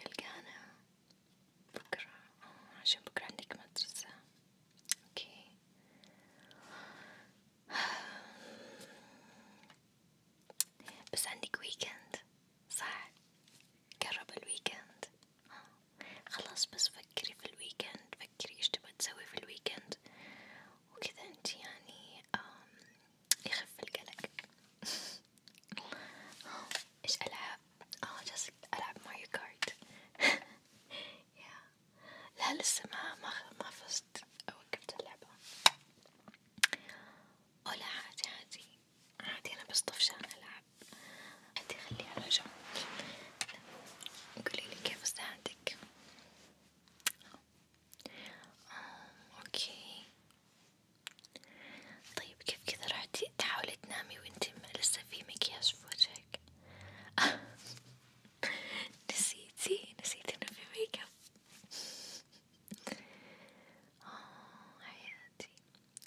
نلقانا بكرة عشان بكرة عندك مدرسة اوكي بس عندك ويكند صح قرب الويكند خلاص بس فكري في الويكند فكري ايش تبغى تسوي في الويكند وكذا انت يعني يخف القلق ايش العب؟ اه جالسة العب ماريو كارت لا لسه ما ما ما فزت وقفت اللعبة أو لا عادي عادي عادي أنا بس طفشان ألعب عادي خليه على جنب قوليلي كيف أساعدك أوكي طيب كيف كذا رحتي تحاولي تنامي وانتي لسه في مكياج في وجهك نسيتي نسيتي انه في ميك اب آه حياتي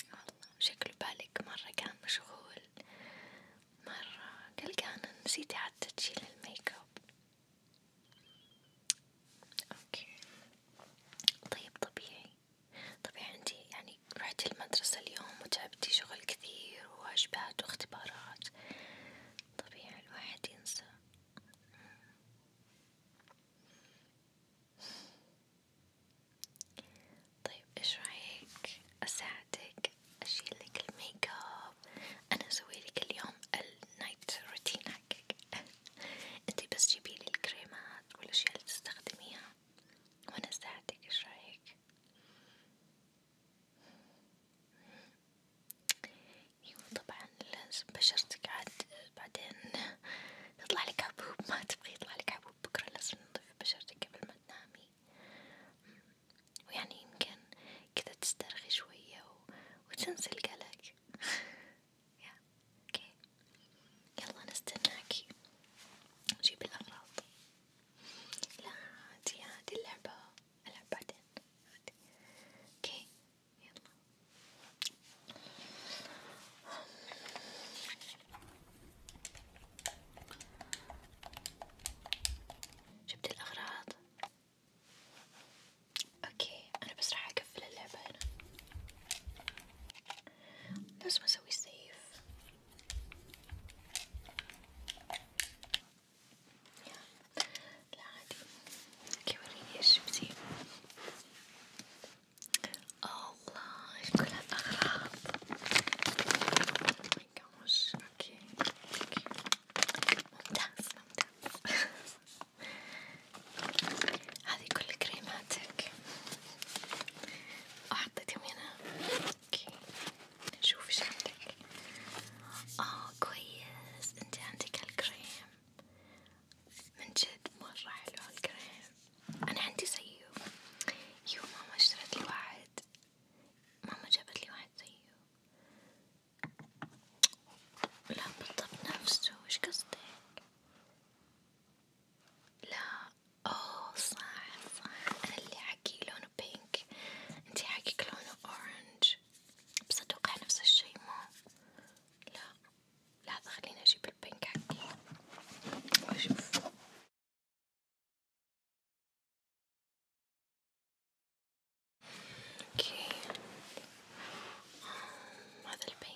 والله شكله بالك مرة كان مشغول مرة قلقانة نسيتي حتى تشيل الميك اب اوكي طيب طبيعي طبيعي انتي يعني رحتي المدرسة اليوم وتعبتي شغل كثير وواجبات واختبارات طبيعي الواحد ينسى طيب ايش رايك اساعدك اشيلك الميك اب انا اسويلك اليوم النايت روتين حقك انتي بس جيبيلي الكريمات والاشياء اللي تستخدميها وانا اساعدك ايش رايك ايوه طبعا لازم بشرتك عاد بعدين يطلع لك حبوب ما تبغي يطلع لك حبوب بكرة لازم نضيف بشرتك قبل ما تنامي ويعني يمكن كذا تسترخي شوية وتنسي القلق يا اوكي يلا نستناكي جيب الأغراض لا عادي عادي اللعبة ألعب بعدين عادي اوكي يلا جبت الأغراض اوكي انا بس راح اقفل اللعبة هنا لازم اسوي سيف لا عادي اوكي وريني ايش بسيب الله ايش كل هالاغراض oh اوكي اوكي ممتاز ممتاز هذه كل كريماتك وحطيت يمينها اوكي نشوف ايش عندك اه كويس انت عندك هالكريم من جد مرة حلو هالكريم انا عندي زيه يو ماما اشترت لي واحد ماما جابت لي واحد زيه لا بالضبط نفسه ايش قصدك لا اوه صح صح انا اللي حكي لونه بينك انتي حكيك لونه اورنج بس اتوقع نفس الشي مو لا لحظة خليني اجيب البينك حقي واشوف اوكي هذا البينك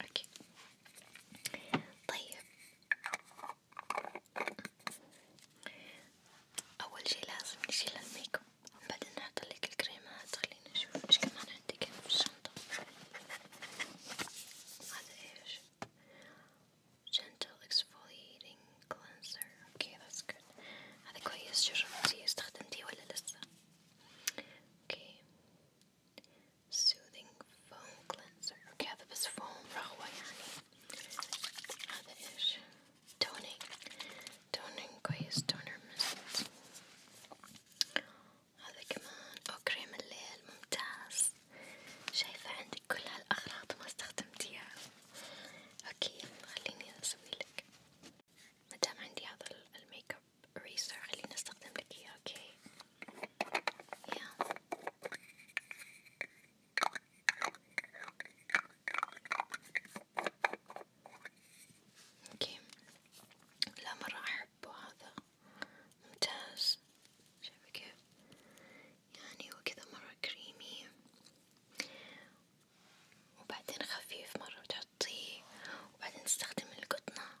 اوكي طيب اول شي لازم نشيل الميك اب بعدين نحط لك الكريمات خلينا نشوف ايش كمان عندك يعني في الشنطة هذا ايش gentle exfoliating cleanser اوكي that's good هذا كويس جربتيه استخدمتيه ولا لسه اوكي soothing foam cleanser اوكي هذا بس فوم رغوة يعني هذا ايش؟ تونينج تونينج كويس تونر مست هذا كمان او كريم الليل ممتاز شايفة عندك كل هالأغراض وما استخدمتيها اوكي خليني اسويلك مدام عندي هذا الميك اب ريسر خليني استخدم لك اياه اوكي yeah. اوكي لا مرة احبه هذا ممتاز شايفة كيف يعني هو كذا مرة كريمي وبعدين خفيف مرة بتحطيه وبعدين تستخدم القطنة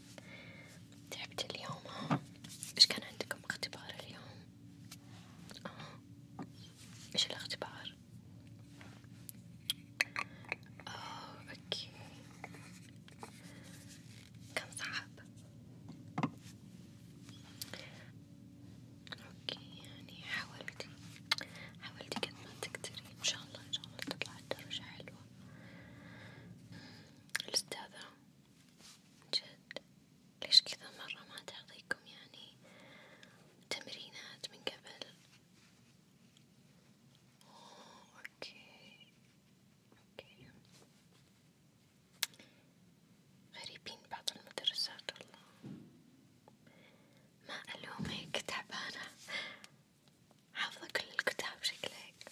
تعبت اليوم ها؟ إيش كان عندكم اختبار اليوم؟ آه إيش الاختبار؟ آه أوكي كان صعب أوكي يعني حاولتي حاولتي قد ما تقدري إن شاء الله إن شاء الله تطلع الدرجة حلوة الأستاذة جد ليش كذا مرة ما تعطيكم يعني تمرينات من قبل؟ أوه أوكي أوكي غريبين بعض المدرسات والله ما ألومك تعبانة حافظة كل الكتاب شكلك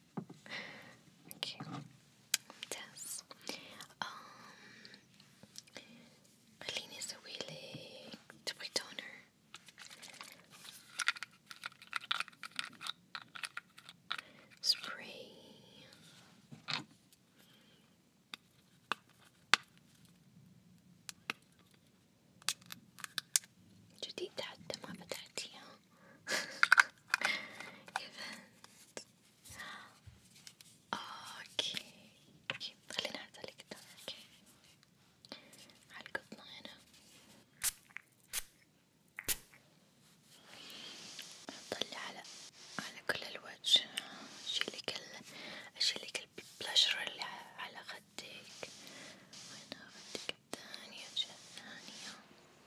okay. Yes. Um, Eileen is a really toner. Spray. Just eat that, the mama that, yeah. اوكي اوكي خليني اعتلك ده اوكي على القطنة هنا اطلع على على كل الوجه اشيلك ال اشيلك البلاشر اللي على خدك وين خدك الثانية الثانية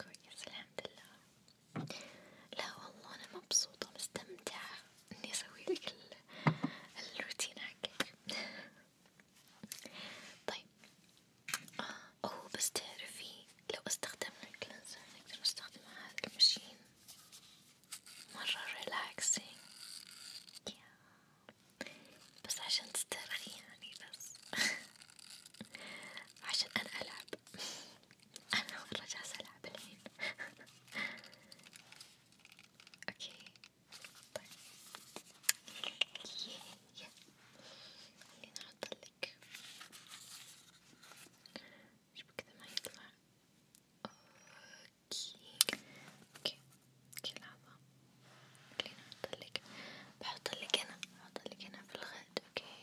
كويس الحمد لله لا والله أنا مبسوطة مستمتعة إني أسويلك الروتين حقك طيب آه هو بس تعرفي لو استخدمنا الكلنزر نقدر نستخدم هذا المشين مرة ريلاكسينج بس عشان تسترخي يعني بس عشان أنا ألعب أنا مرة جالسة ألعب الحين أوكي طيب ييه ييه خليني أحطلك شوف كذا ما يطلع أوكي أوكي أوكي لحظة خليني أحطلك بحطلك هنا بحطلك هنا في الخد أوكي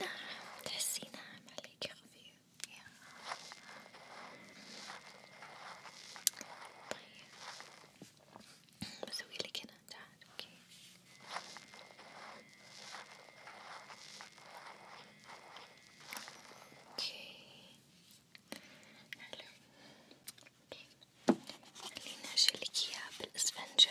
ناعم تحسي ناعم عليك خفيف يا طيب بسوي لك هنا تعال اوكي اوكي حلو اوكي خليني اشيلك اياها بالاسفنجة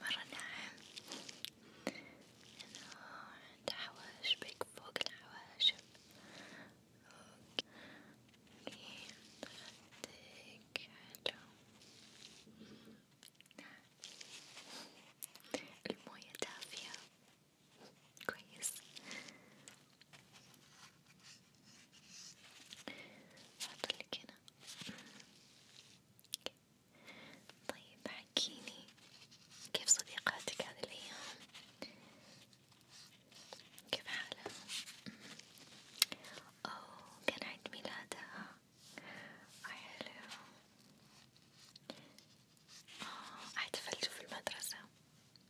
مرة ناعم لأنه عنده حواشبك فوق الحواشب اوكي خدك حلو نعم. الموية دافية كويس هحطلك هنا أمم. طيب حكيني كيف صديقاتك هذه الأيام؟ كيف حالها؟ أمم. أوه كان عيد ميلادها حلو آه احتفلتوا في المدرسة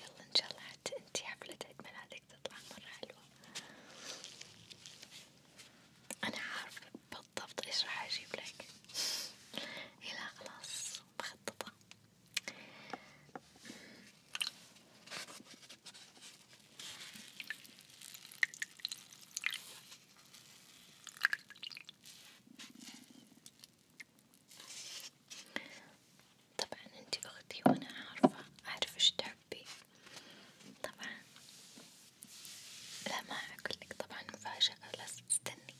يلا ان شاء الله حتى انتي حفلة عيد ميلادك تطلع مرة حلوة انا عارفة بالضبط ايش راح اجيب لك يلا خلاص مخططة طبعا انتي اختي وانا عارفة اعرف ايش تحبي طبعا لا ما اقولك طبعا مفاجأة لازم تستني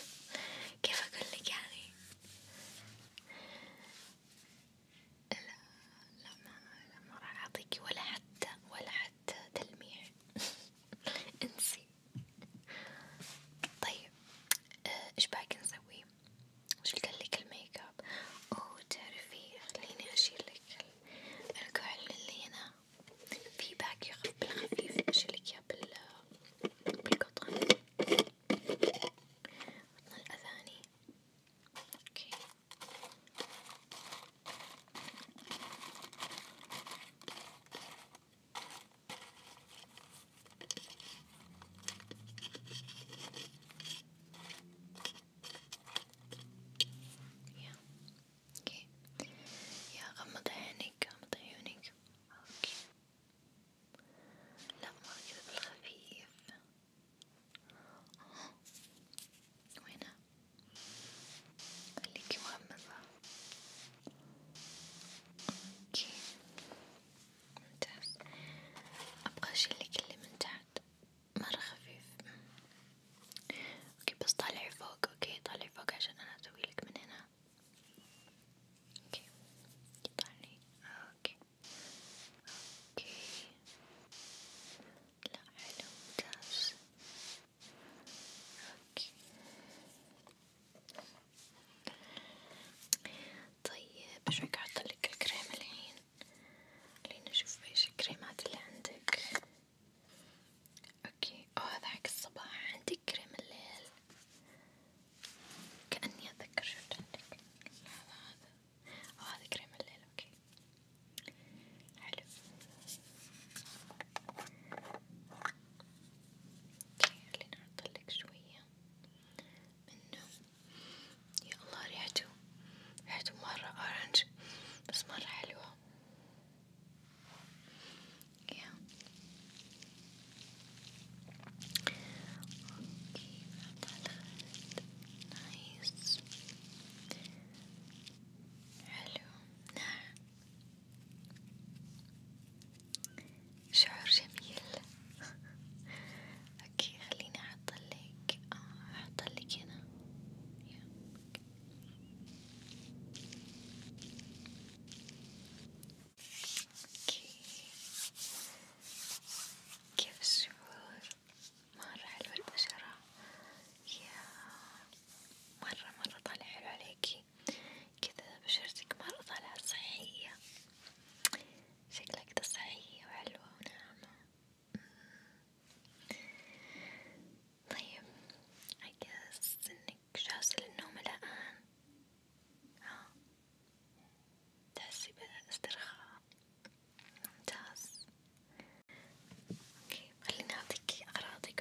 كيف اقولك يعني لا لا ما لا ما راح اعطيكي ولا حتى ولا حتى تلميح انسي طيب آه، ايش باقي نسوي؟ وش لك الميك اب؟ اوه تعرفي خليني اشيل لك الكحل اللي هنا في باقي بالخفيف اشيلك اياه بال بالقطن عطنا الاذاني اوكي يا اوكي يا غمض عينيك غمض عيونك اوكي لا مرة كذا بالخفيف وينها؟ خليكي مغمضة اوكي ممتاز ابغى اشيلك اللي من تحت مرة خفيف اوكي بس طالعي فوق اوكي طالعي فوق عشان انا اسويلك من هنا اوكي طالعي اوكي اوكي لا حلو ممتاز اوكي طيب شوي أحطلك الكريم الحين خلينا نشوف ايش الكريمات اللي عندك اوكي أو هذا حق الصباح عندك كريم الليل كأني أتذكر شفت عندك هذا هذا أو هذا كريم الليل اوكي حلو خليني أحطلك شوية منه يا الله ريحته ريحته مرة أورنج بس مرة حلوة يا اوكي على الخد نايس حلو ناعم شعور جميل اوكي خليني احطلك آه احطلك هنا اوكي كيف الشعور؟ مرة حلوة البشرة يا مرة مرة طالع حلو عليكي شوفي كذا بشرتك مرة طالعة صحية شكلها كذا صحية وحلوة وناعمة طيب أحس إنك جاهزة للنوم الآن ها آه. تحسي باسترخاء ممتاز أوكي خليني أعطيكي أغراضك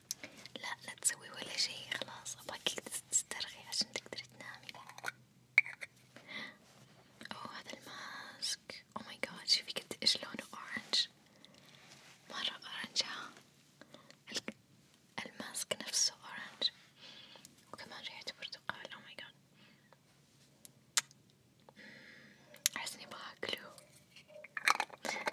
لا لا تسوي ولا شي خلاص أبغاك تسترخي عشان تقدري تنامي أوه هذا الماسك أوه ماي جاد شوفي قد إيش لونه أورنج مرة أورنج ها الماسك نفسه أورنج وكمان ريحته برتقال أوه ماي جاد أحس إني باكله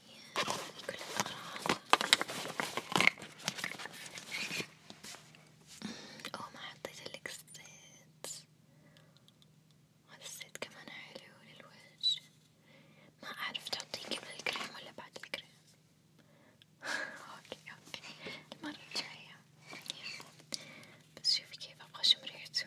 طيب كل الأغراض أو ما حطيت لك زيت هذا الزيت كمان حلو للوجه ما أعرف تعطيه قبل الكريم ولا بعد الكريم اوكي اوكي المرة الجاية بس شوفي كيف ابغى اشم ريحته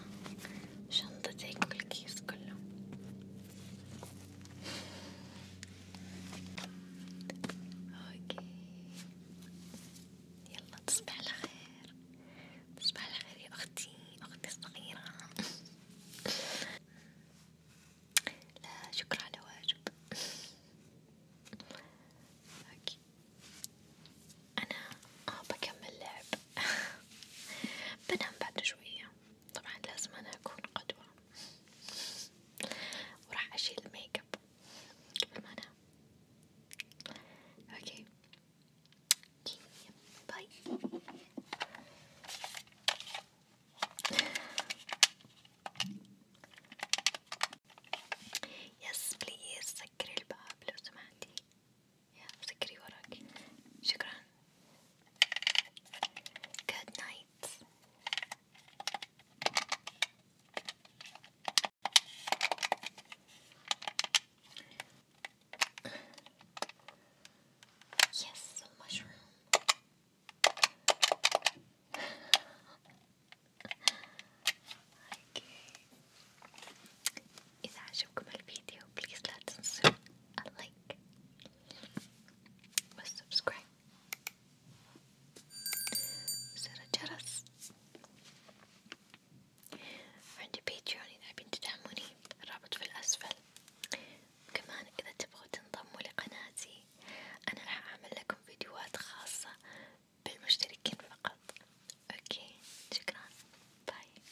شنطتك شنطتك الكيس كله اوكي يلا تصبح على خير تصبح على خير يا اختي اختي الصغيرة لا شكرا على واجب اوكي أنا آه بكمل لعب بنام بعد شوية طبعا لازم أنا أكون قدوة وراح أشيل الميك اب قبل ما أنام أوكي باي يس بليز سكري الباب لو سمحتي ذكري وراك شكرا good night yes mushroom okay إذا عجبكم الفيديو بليز لا تنسوا اللايك والسبسكرايب وزر الجرس عندي بيتريون إذا حابين تدعموني الرابط في الأسفل كمان إذا تبغوا تنضموا لقناتي أنا راح أعمل لكم فيديوهات خاصة بالمشتركين فقط اوكي شكرا باي